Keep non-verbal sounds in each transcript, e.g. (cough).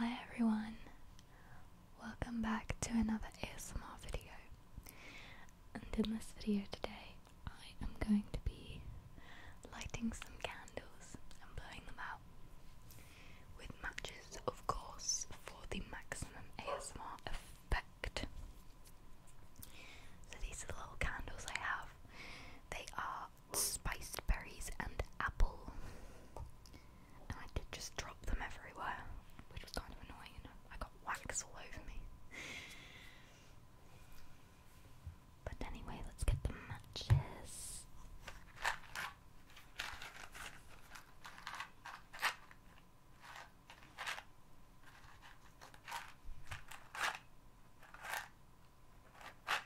Hi everyone, welcome back to another ASMR video. And in this video today, I am going to be lighting some candles and blowing them out with matches, of course, for the maximum ASMR effect. So these are the little candles I have. They are spiced berries and apple. And I did just drop them everywhere, which was kind of annoying. I got wax all over me. But anyway, let's get the matches.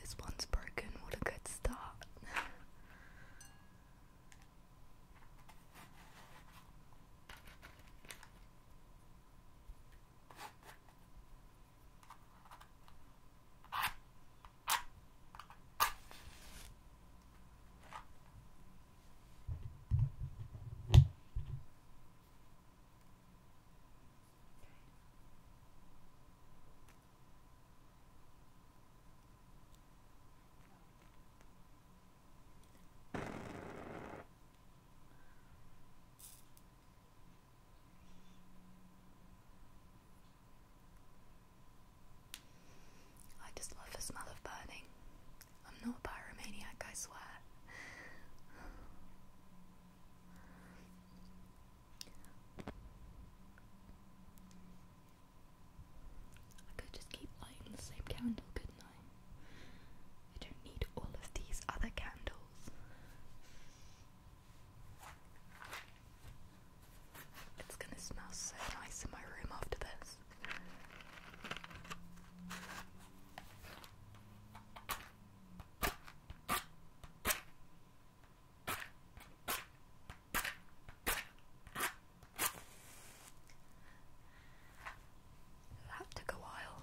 This one's broken. What a good start. I just love the smell of burning. I'm not a pyromaniac, I swear. I could just keep lighting the same candle, couldn't I? I don't need all of these other candles. It's gonna smell so nice in my room after this. That took a while.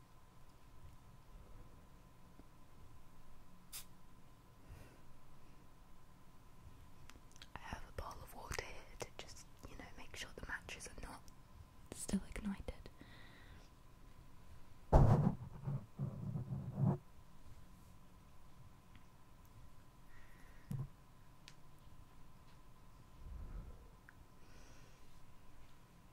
I have a bowl of water to just, you know, make sure the matches are not still ignited.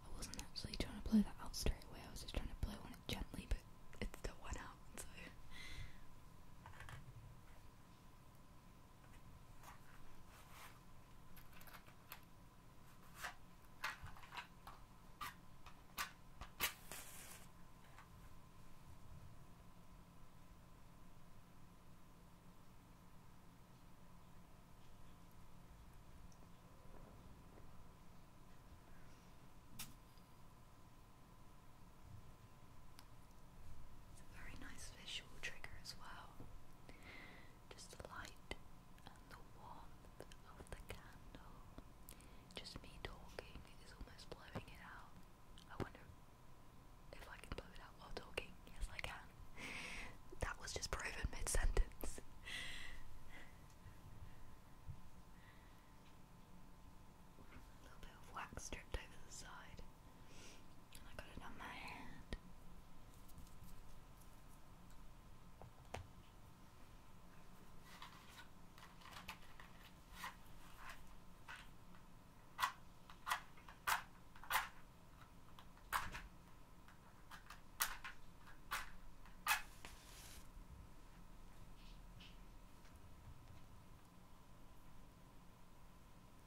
I wasn't actually trying to blow that out straight away, I was just trying to blow on it gently, but it still went out, so. It's a very nice visual trigger as well. Just the light and the warmth of the candle. Just me talking is almost blowing it out. I wonder if I can blow it out while talking. Yes, I can. (laughs) that was just proven mid sentence. (laughs) A little bit of wax stripped over the side. I got it on my hand.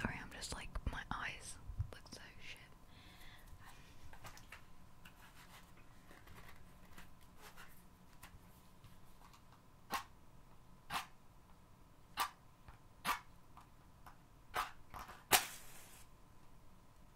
Sorry, I'm just like, my eyes look so shit.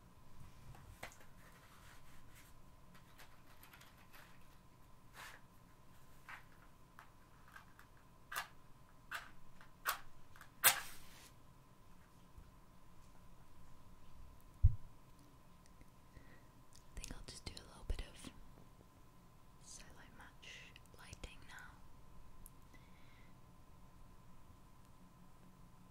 I think I'll just do a little bit of silo match lighting now.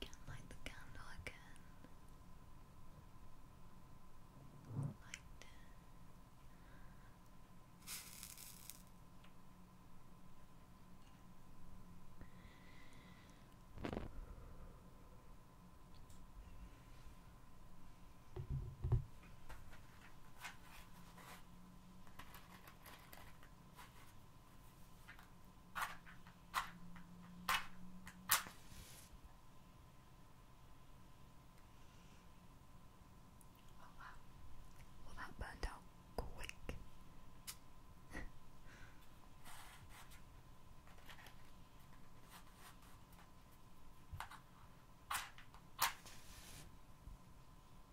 We can light the candle again. Like this. Oh wow. Well, that burned out quick.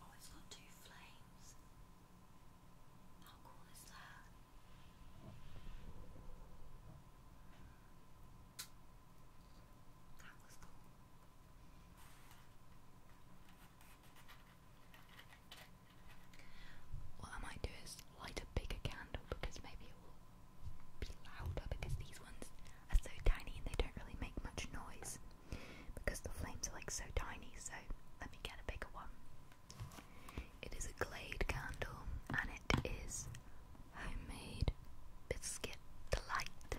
Oh, it's got two flames. How cool is that? That was cool. What I might do is light a bigger candle because maybe it will be louder because these ones are so tiny and they don't really make much noise because the flames are like so tiny. So let me get a bigger one. It is a Glade candle and it is homemade biscuit delight. So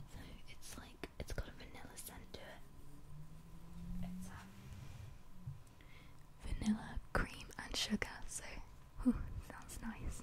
So it's like it's got a vanilla scent to it. Um, vanilla, cream, and sugar. So, ooh, sounds nice.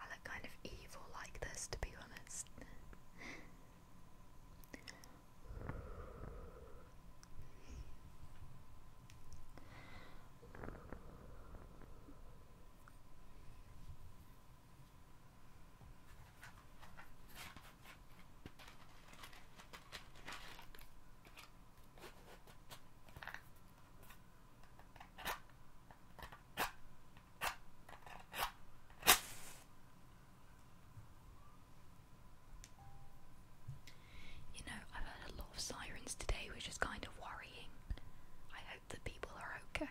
I look kind of evil like this, to be honest. You know, I've heard a lot of sirens today, which is kind of worrying. I hope that people are okay.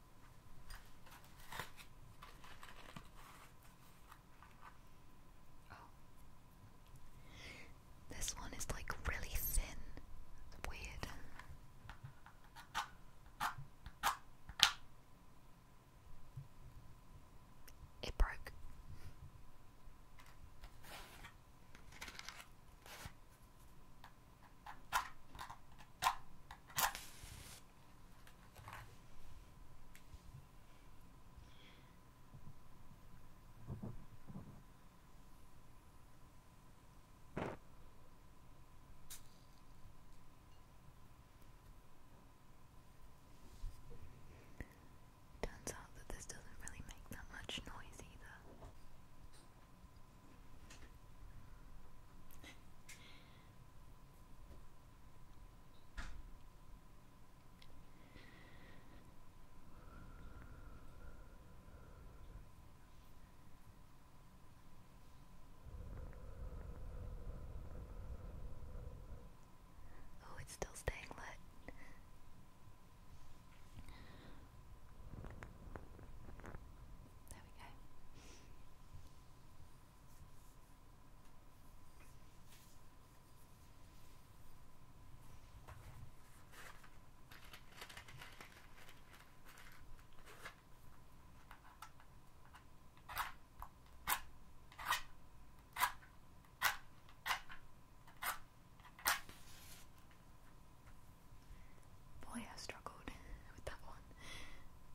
Oh. This one is like really thin. It's weird. It broke. Turns out that this doesn't really make that much noise either. Oh, it's still staying lit. There we go. Boy, I struggled with that one.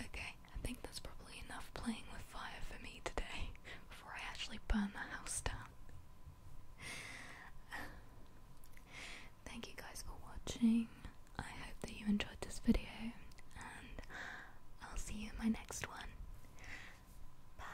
Okay, I think that's probably enough playing with fire for me today (laughs) before I actually burn the house down. (sighs) Thank you guys for watching. I hope that you enjoyed this video, and I'll see you in my next one. Bye.